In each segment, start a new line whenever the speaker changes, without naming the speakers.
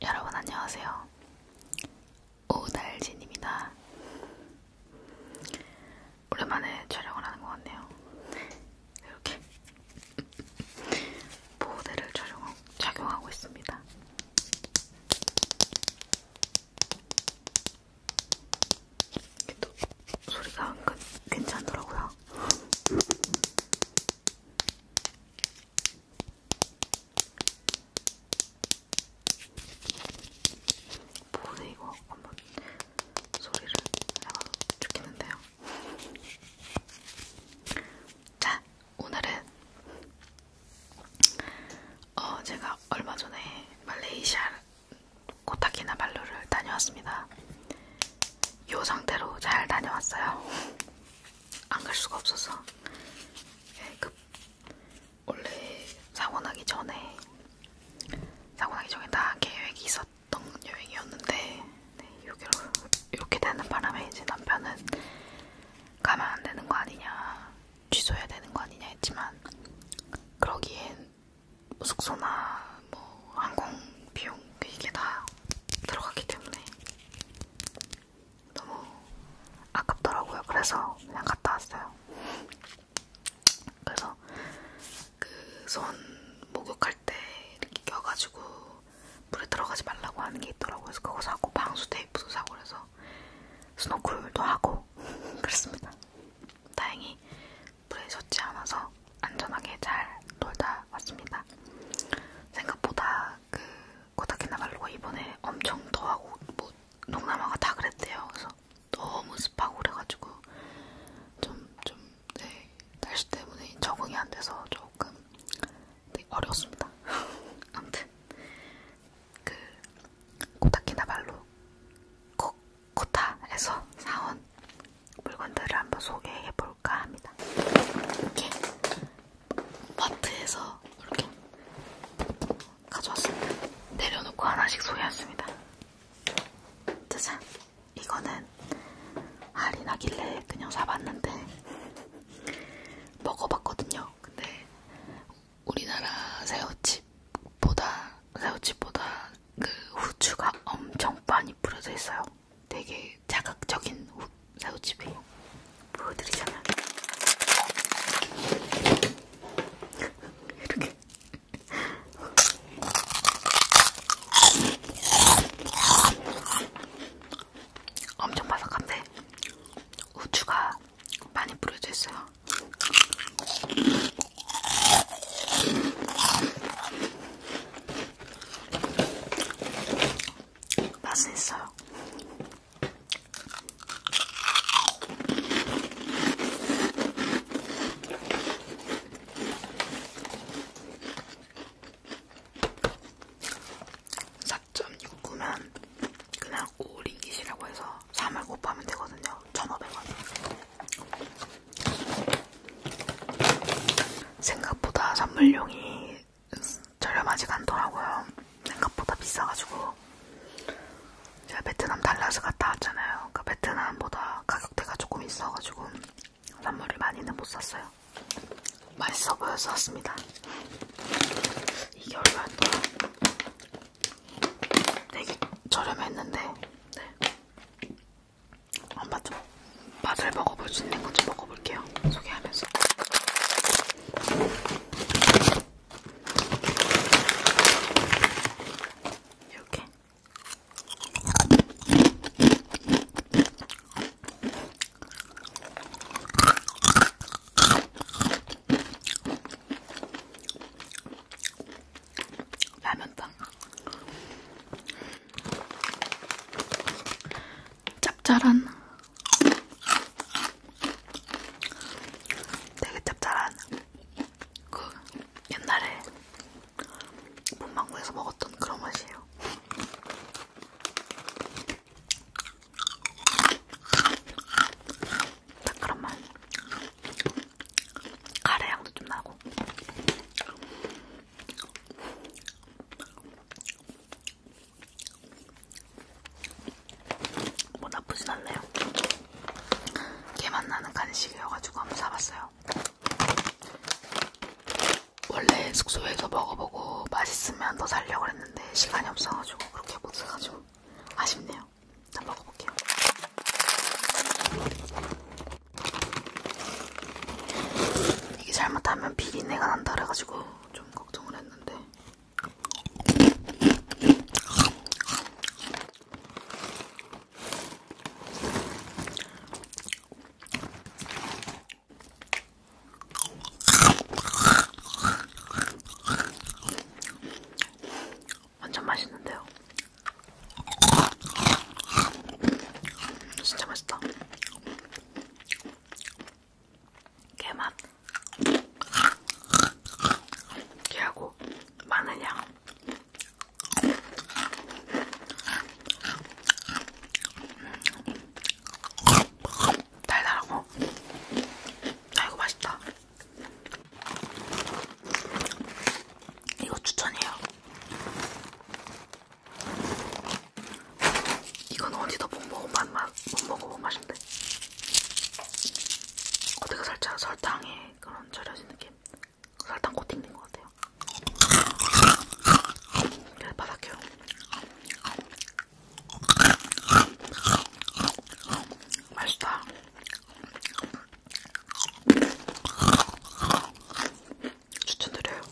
여러분 안녕하세요. 오달진입니다. 오랜만에 촬영을 하는 것 같네요. 이렇게 보호대를 착용, 착용하고 있습니다. 이게 또 소리가 은근 괜찮더라고요. 뭐네 이거 한번 소리를 해봐도 좋겠는데요. 자, 오늘은 어 제가 얼마 전에 말레이시아 코타키나발루를 다녀왔습니다. 이 상태로 잘 다녀왔어요. 안 갈 수가 없어서. 예, 그 원래 사고 나기 전에 사고 나기 전에 다 계획이 있었던 여행이었는데 네, 여기로 이렇게 되는 바람에 이제 남편은 가면 안 되는 거 아니냐 취소해야 되는 거 아니냐 했지만 그러기엔 숙소나 뭐 항공 비용 이게 다 들어가기 때문에 너무 아깝더라고요. 그래서 그냥 갔다 왔어요. 그래서 그 손 목욕할 때 이렇게 껴가지고 물에 들어가지 말라고 하는 게 있더라고요. 그래서 그거 사고 방수 테이프도 사고 그래서 스노클도 하고 그랬습니다. 다행히 물에 젖지 않아서 안전하게 잘 놀다 왔습니다. 생각보다 그 코타키나발루가 이번에 엄청 더하고 뭐 동남아가 다 그랬대요. 그래서 너무 습하고 그래가지고 좀, 좀, 네, 날씨 때문에 적응이 안 돼서 조금 네, 어려웠습니다. 아무튼 그 코타키나발루 코타에서 사온 물건들을 한번 소개해 볼까 합니다. 이렇게 마트에서 이렇게 가져왔습니다. 내려놓고 하나씩 소개했습니다. 짜잔! 이거는 할인하길래 그냥 사봤는데 먹어봤거든요. 근데 우리나라 새우칩보다 새우칩보다 그 후추가 엄청 많이 뿌려져 있어요. 되게 자극적인 새우칩이 보여드리자면 이렇게 엄청 바삭한데 우추가 많이 뿌려져 있어요. 맛은 있어요. 삭점6구면 그냥 오리깃이라고 해서 3을 곱하면 되거든요. 1,500원. 생각보다 선물용이 저렴하지가 않더라고요. 생각보다 비싸가지고 제가 베트남 달라스 갔다 왔잖아요. 그러니까 베트남보다 가격대가 조금 있어가지고 선물을 많이는 못 샀어요. 맛있어 보여서 샀습니다. 이게 얼마였더라? 되게 저렴했는데 네. 한번 아, 좀 맛을 먹어볼 수 있는 거좀 먹어볼게요. 소개하면서. 이렇게. 라면빵 짭짤한 되게 짭짤한 그 옛날에 문방구에서 먹었던 그런 맛이에요. 딱 그런 맛. 카레 향도 좀 나고. 뭐 나쁘진 않네요. 개맛 나는 간식이어가지고 한번 사봤어요. 원래 숙소에서 먹어보고 맛있으면 더 살려고 했는데 시간이 없어가지고 그렇게 못 사가지고 아쉽네요. 일단 먹어볼게요. 이게 잘못하면 비린내가 난다 그래가지고 좀 걱정을 했는데 완전 맛있는데요. 진짜 맛있다. 개맛 개하고 마늘 향 달달하고 아이고 맛있다 이거 추천해요 이건 어디다 못 먹어본 맛, 못 먹어본 뭐 맛인데. 어디가 살짝 설탕에 그런 절여진 느낌? 설탕 코팅된 것 같아요. 그래, 네, 바닥해요. 맛있다. 추천드려요.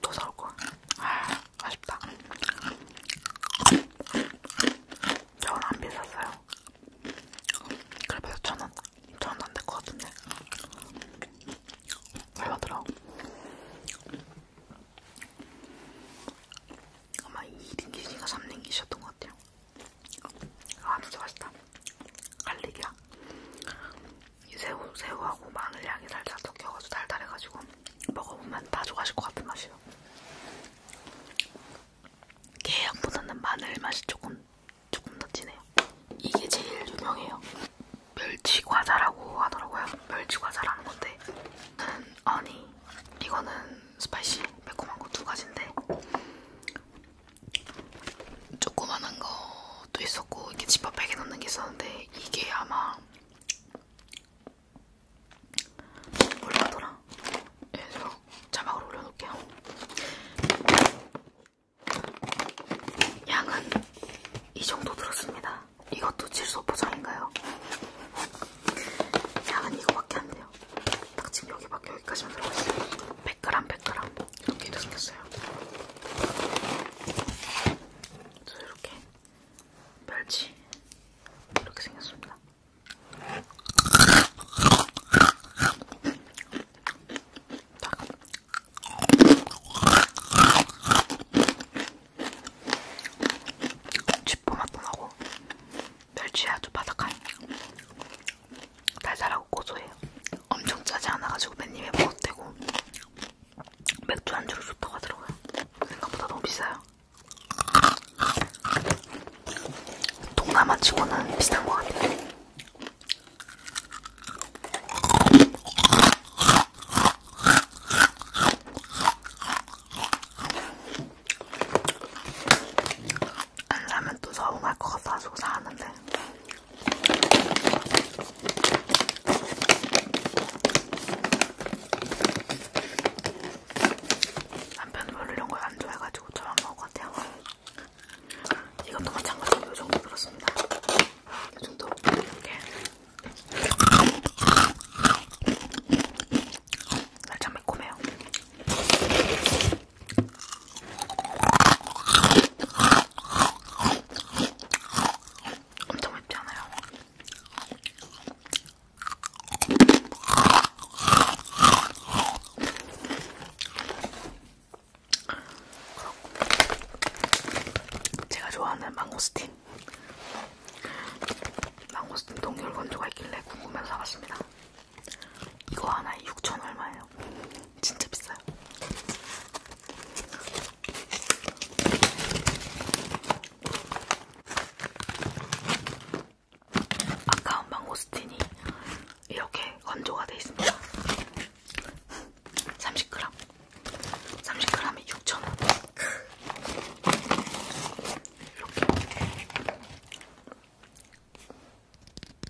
또 사올 거야. 아, 아쉽다. 겨울 안 비쌌어요. 그래서 천원, 천원 안될것 같은데. 얼마더라? 아마 2링기시가 3링기셨던 것 같아요. 아 진짜 맛있다. 갈릭이야. 이 새우, 새우하고 마늘 향이 살짝 섞여가지고 달달해가지고 먹어보면 다 좋아하실 것 같은 맛이에요. 게향보다는 마늘 맛이 조금 조금 더 진해요. 이게 제일 유명해요. 멸치 과자라고 하더라고요. 멸치 과자라는 건데, 음, 아니 이거는 스파이시 매콤한 거 두 가지인데 조그만한 것도 있었고 이렇게 지퍼백에 넣는 게 있었는데 이게 아마 몰라더라. 예, 제가 자막으로 올려놓을게요. 양은 이 정도 들었습니다. 이것도 질소 포장인가요? 양은 이거밖에 안 돼요. 딱 지금 여기밖에 여기까지만 들어가 있어요. 100g, 100g 이렇게 생겼어요. 그래서 이렇게 멸치 이렇게 생겼습니다. 딱. 쥐포 맛도 나고 멸치 아주 바삭한 달달하고 고소해요. 엄청 짜지 않아가지고 맨 입에 먹어도 되고 맥주 안주로 좋다고 하더라고요. 생각보다 너무 비싸요. 동남아 치고는 비싼 것 같아요. 안 사면 또 서운할 것 같아서 사는데 남편은 별로 이런 걸안 좋아해가지고 저만 먹을 것 같아요. 이것도 마찬가지로 이 정도 들었습니다. 이 정도 이렇게 살짝 매콤해요. 엄청 맵지 않아요? 그렇고 제가 좋아하는 망고스틴 망고스틴 동결 건조가 있길래 궁금해서 사봤습니다. 이거 하나에 6천 얼마예요. 진짜 비싸요. 아까운 망고스틴이 이렇게 건조가 돼 있습니다. 30g. 30g에 6,000원. 이렇게.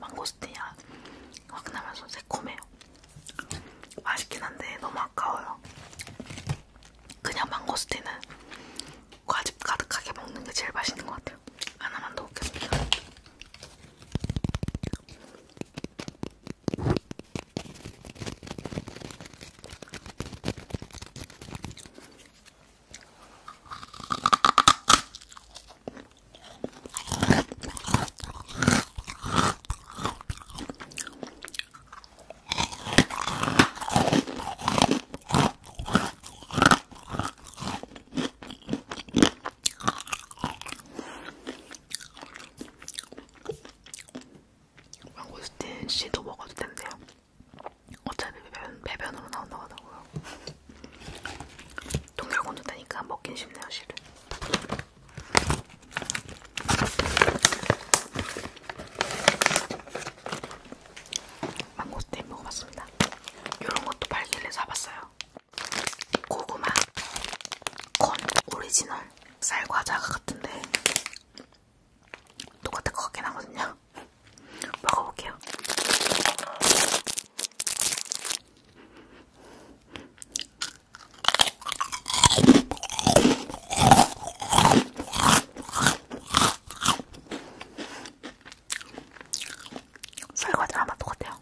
망고스틴이랑 확 나면서 새콤해요. 맛있긴 한데 너무 아까워요. 그냥 망고스틴은 과즙 가득하게 먹는 게 제일 맛있는 것 같아요. 하나만 더 먹겠습니다. 망고스틴 씨도 먹어도 된대요. 어차피 배변, 배변으로 나온다고 하더라고요. 동결곤조다니까 먹긴 쉽네요, 실은. 망고스테인 먹어봤습니다. 이런 것도 발길래 사봤어요. 고구마, 건 오리지널 쌀과자가 같은데 똑같은 것 같긴 하거든요. 먹어볼게요. 설거지랑 맛 똑같아요.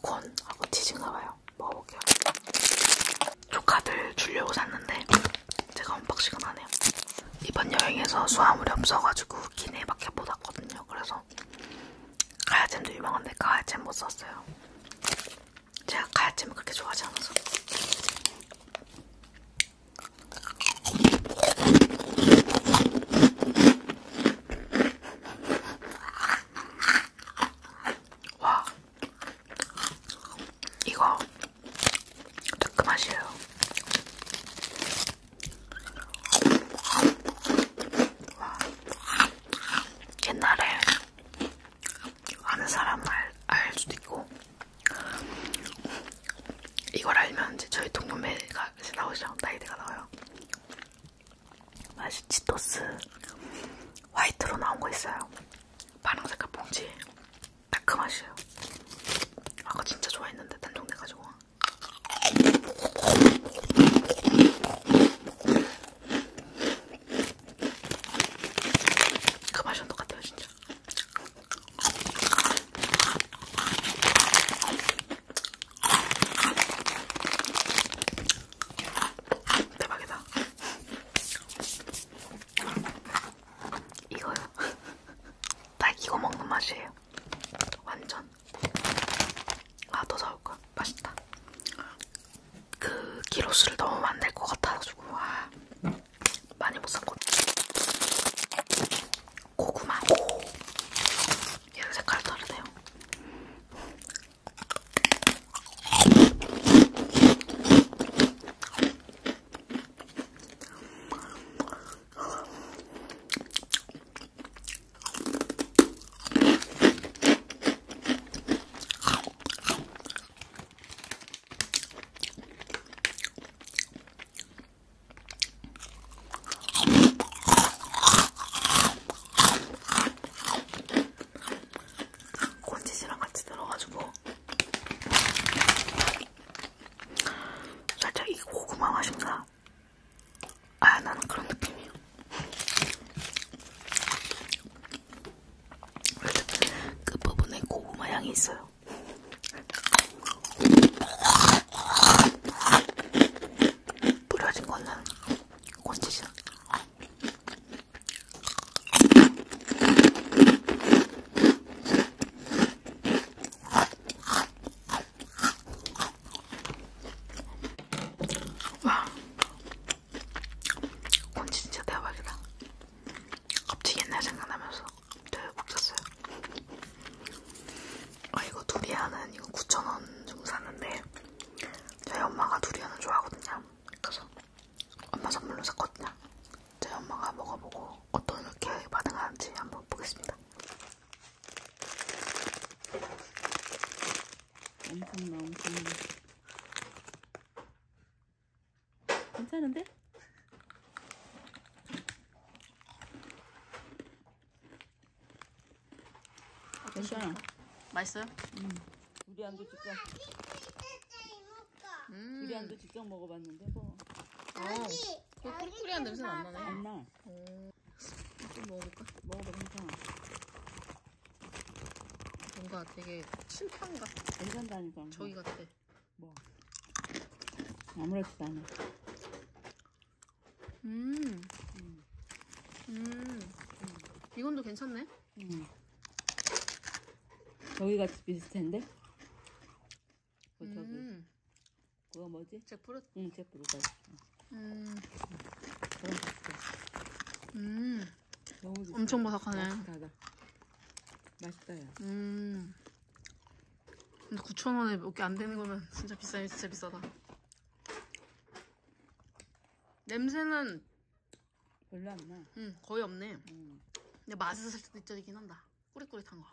콘하고 치즈인가봐요. 먹어볼게요. 조카들 주려고 샀는데 제가 언박싱은 안 해요. 이번 여행에서 수화물이 없어가지고 기내밖에 못 왔거든요. 그래서 가야잼도 유명한데 가야잼 못 샀어요. 제가 가야잼을 그렇게 좋아하지 않아서. 와, 이거 특급 맛이에요. 와. 옛날에 아는 사람 알, 알 수도 있고 이걸 알면 이제 저희 동료매가 나오죠. 나이드가 나와요. 맛이 치토스 화이트로 나온 거 있어요. 파란 색깔 봉지 매콤 맛이에요. 아까 진짜 좋아했는데 단종 돼가지고. 그 맛이랑 똑같아요, 진짜. 대박이다. 이거요. 딱 이거 먹는 맛이에요. 완전. 아, 더 사올 거야. 맛있다. 그 기로수를 너무 만들 것 같아가지고 와 많이 못 샀거든. 고구마. 오. 얘 색깔 다르네요. 곤지씨랑 같이 들어가지고 살짝 이 고구마 맛인가? 아, 나는 그런 느낌이야. 끝부분에 그 고구마 향이 있어요. 뿌려진 거는 곤지죠. 와, 건 진짜 대박이다. 갑자기 옛날 생각나면서 되게 웃겼어요. 아, 이거 두리안은 이거 9,000원 정도 샀는데 저희 엄마가 두리안을 좋아하거든요. 그래서 엄마 선물로 샀거든요. 저희 엄마가 먹어보고 어떻게 반응하는지 한번 보겠습니다. 엄청나 엄청나. 괜찮은데? 아, 괜찮아. 맛있어요? 응. 우리 안개 찍자. 먹어볼까? 음. 두리안도 직접 먹어봤는데 뭐. 여기. 어, 그 꿀꿀이한 냄새는 안 나네. 안 나. 어. 좀 먹어볼까? 먹어봐 괜찮아. 뭔가 되게 침판 같아. 괜찮다니까. 뭐. 저기 같아. 뭐. 아무렇지도 않아. 음. 음. 음. 이건도 괜찮네. 음. 여기가 비슷한데? 그 뭐 저기 음. 그거 뭐지? 제프루? 응 제프루가 음. 그런 거 음. 너무 좋다. 엄청 바삭하네 맛있다 맛있다 야 음. 근데 9,000원에 몇개안 되는 거면 진짜 비싸요 진짜 비싸다 냄새는 별로 안 나. 응, 거의 없네. 응. 근데 맛있을 수도 있긴 한다. 꾸릿꾸릿한 거.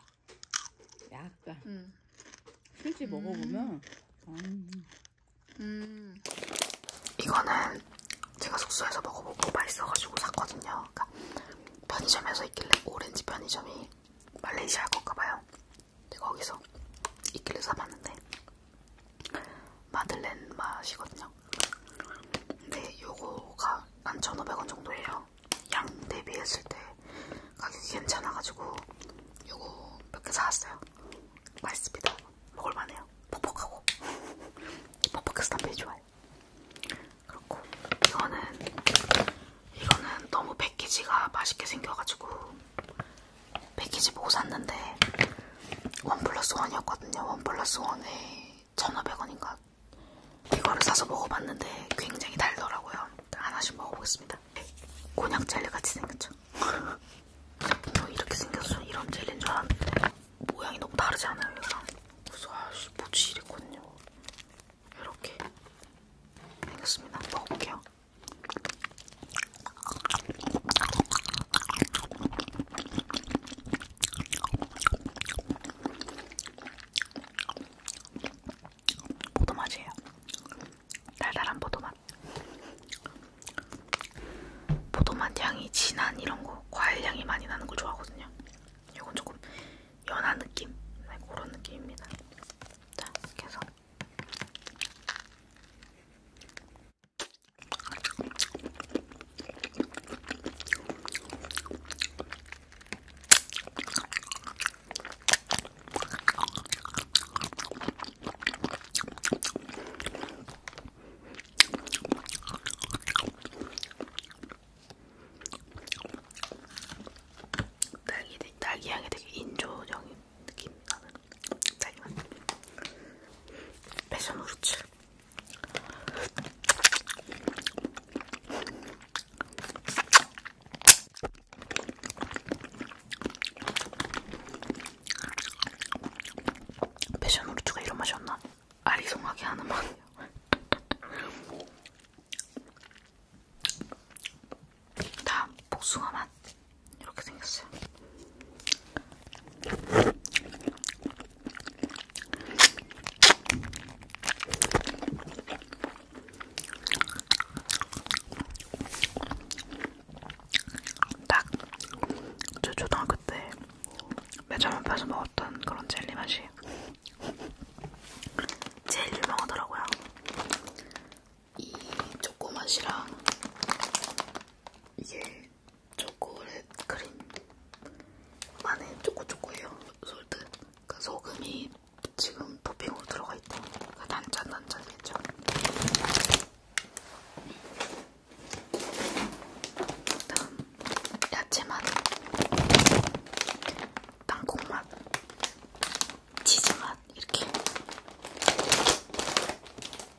약간. 응. 실제 음. 먹어보면. 음. 음. 이거는 제가 숙소에서 먹어보고 맛있어가지고 샀거든요. 그러니까 편의점에서 있길래 오렌지 편의점이 말레이시아 건가봐요. 근데 거기서 있길래 사봤는데 마들렌 맛이거든요. 근데 네, 요거가 한 1,500원 정도예요. 양 대비했을 때 가격이 괜찮아가지고 요거 몇개 사왔어요. 맛있습니다. 먹을만해요. 퍽퍽하고. 퍽퍽해서 담배 좋아요. 그렇고 이거는 이거는 너무 패키지가 맛있게 생겨가지고 패키지 보고 샀는데 원 플러스 원이었거든요. 원 플러스 원에 1,500원인가 이거를 사서 먹어봤는데 굉장히 달더라고요. 하나씩 먹어보겠습니다. 곤약 젤리 같이 생겼죠? 또 뭐 이렇게 생겼어. 이런 젤리인 줄 알았는데 모양이 너무 다르지 않아요? 이거랑. 그래서 아씨 뭐지 이랬거든요. 이렇게 생겼습니다. 먹어볼게요. 포도맛이에요. 달달한 포도맛. 포도맛 향이 진한 이런 거, 과일 향이 많이 나는 걸 좋아하거든요. 이건 조금 연한 느낌? 네, 그런 느낌입니다. 자, 계속. 딸기, 딸기 향이 되게 인조적인 느낌 나는 딸기맛 패션 후르츠 패션 후르츠가 이런 맛이었나? 아리송하게 하는 맛이에요. 다음 복숭아 맛 이렇게 생겼어요. 딱저 초등학교 때 매점 앞에서 먹었던 그런 젤리 맛이 제일 유명하더라고요. 이 초코맛이랑 이게 초콜릿 크림 안에 초코초코예요. 솔트. 그 소금이 지금 토핑으로 들어가 있대. 그 단짠 단짠이겠죠. 다음 야채맛, 땅콩맛, 치즈맛 이렇게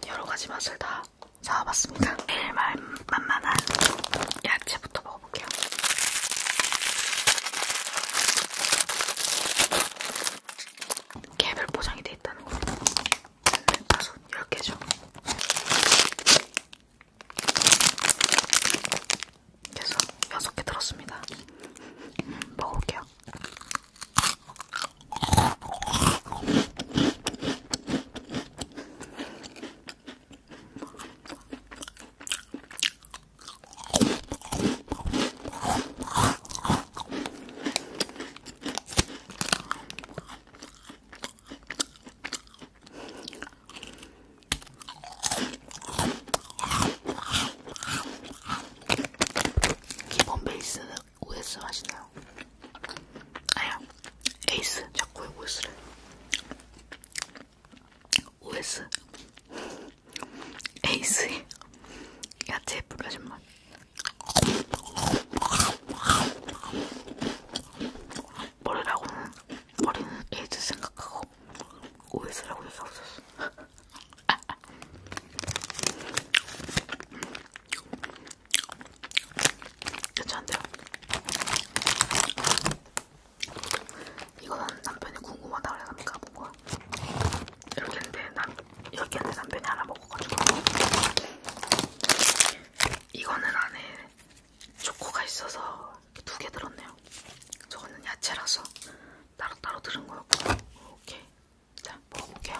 여러 가지 맛을 다 사와봤습니다. 제일 말 만만한 야채부터 먹어볼게요. 개별 포장이 돼 있다는 거. 다섯 10개죠. 그래서 6개 들었습니다. 음, 먹어볼게요. 기본 베이스는 OS 맛이나요? 아야 에이스 자꾸 외고 있으래 OS 에이스 야채 뿌려진 맛 머리라고는 머리는 에이즈 생각하고 OS라고 얘기하고 있었어 괜찮은데요? 이거는 남편이 궁금하다고 해서 내가 본 거야. 이렇게 했는데, 남, 이렇게 했는데 남편이 하나 먹어가지고. 이거는 안에 초코가 있어서 두 개 들었네요. 저거는 야채라서 따로따로 들은 거였고. 오케이. 자, 먹어볼게요.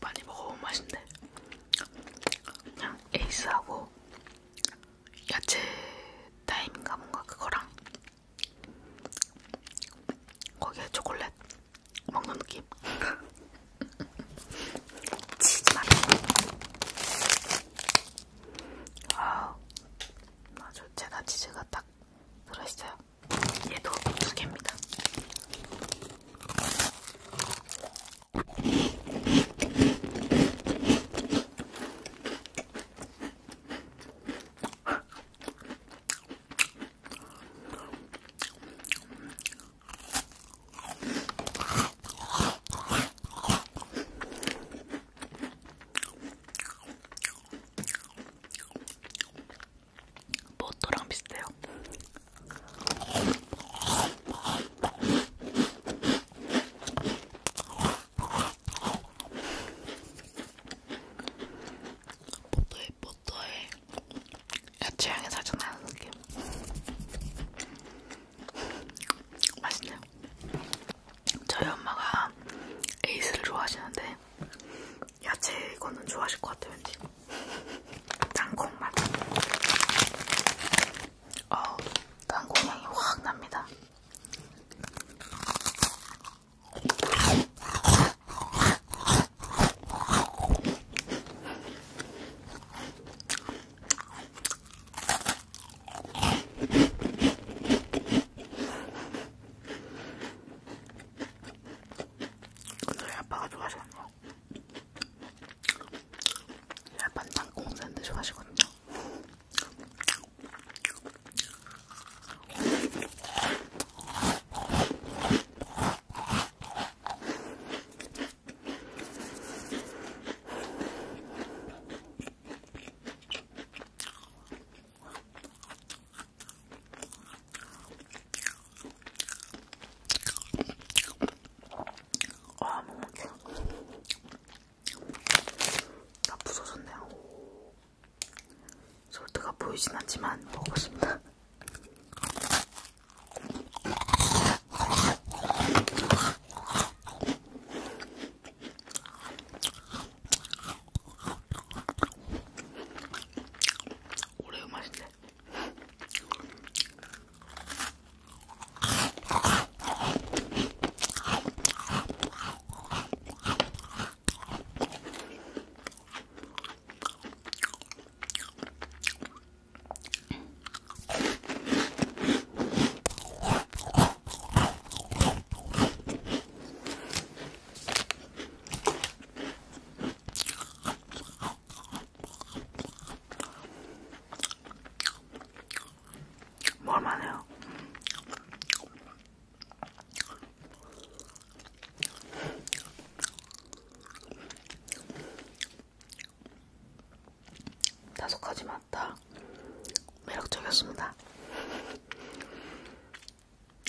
많이 먹어본 맛인데 그냥 에이스하고 야채 타임인가 뭔가 그거랑 거기에 초콜릿 먹는 느낌. 치즈 맛. 아, 아주 제가 치즈가 딱 들어있어요. 얘도 두 개입니다. 모토랑 비슷해요. 포도에 포도에 야채 향이 살짝 나는 느낌. 맛있네요. 저희 엄마가 에이스를 좋아하시는데 야채 이거는 좋아하실 것 같아요. 왠지 땅콩맛. 어, 땅콩 향이 확 납니다. 저희 아빠가 좋아하시거든요. 약간 땅콩 샌드 좋아하시거든요. 아, 못 먹겠어. 다 부서졌네요. 소스가 보이진 않지만 먹어보겠습니다. 오레오 맛인데. 먹을만해요. 뭐 다섯 가지 맛다 매력적이었습니다.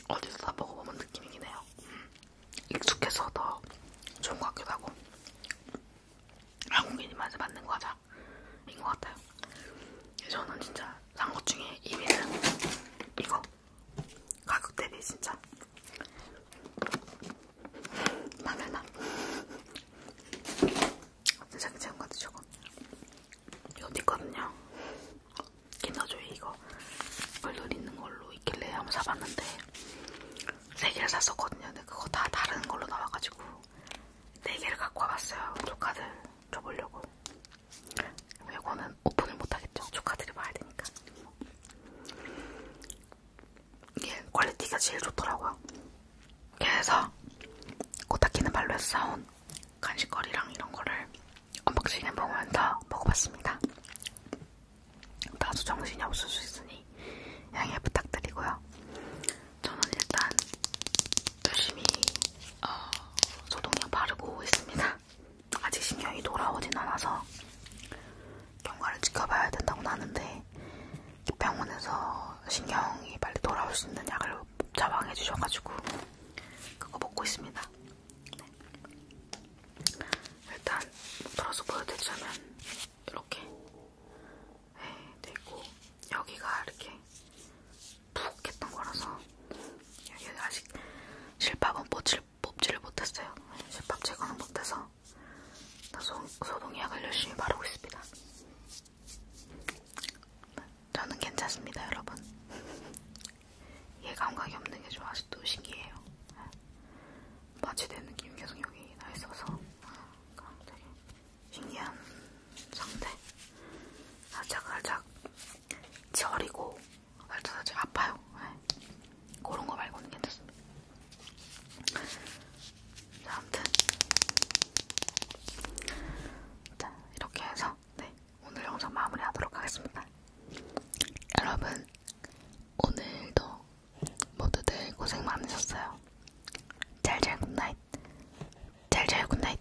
어디서 다 먹어보는 느낌이긴 해요. 음, 익숙해서 더 좋은 것 같기도 하고 한국인 입맛에 맞는 과자인 것 같아요. 저는 진짜 산 것 중에 1위는 이거 가격 대비 진짜 마늘맛 진짜 괜찮은 것 같아 저거 이거 있거든요 킨더조이 이거 얼돌 있는 걸로 있길래 한번 사봤는데 세 개를 샀었거든요 근데 그거 다 다른 걸로 나와가지고 네 개를 갖고 와봤어요 조카들 줘보려고 이거는 오픈을 못하겠죠. 조카들이봐야 되니까. 이게 퀄리티가 제일 좋더라고요. 그래서 코타키는 발로에서 사온 간식거리랑 이런 거를 언박싱 해보면서 먹어봤습니다. 다소 정신이 없을 수 있으니 양해 부탁드리고요. 저는 일단 열심히 어, 소독약 바르고 있습니다. 아직 신경이 돌아오진 않아서 경과를 지켜봐야 된다고는 하는데 병원에서 신경이 빨리 돌아올 수 있는 약을 처방해 주셔가지고 그거 먹고 있습니다. 네. 일단 들어서 보여드리자면 이렇게 네, 되고 여기가 이렇게 푹 했던 거라서 여기 아직 실밥은 못집 뽑지를 못했어요. 집합 제거는 못해서 소동, 소동의학을 열심히 바르고 있습니다. 저는 괜찮습니다, 여러분. 얘 감각이 없는 게 좀 아직도 신기해요. 마취된 느낌이 계속 여기 나 있어서 되게 신기한 상태. 살짝 살짝 저리고 살짝 살짝 아파요. 네. 그런 거 말고는 괜찮습니다. 자, 아무튼 자 이렇게 해서 네, 오늘 영상 마무리하도록 하겠습니다. 여러분 오늘도 모두들 고생 많으셨어요. 잘잘 굿나잇. 잘잘 굿나잇.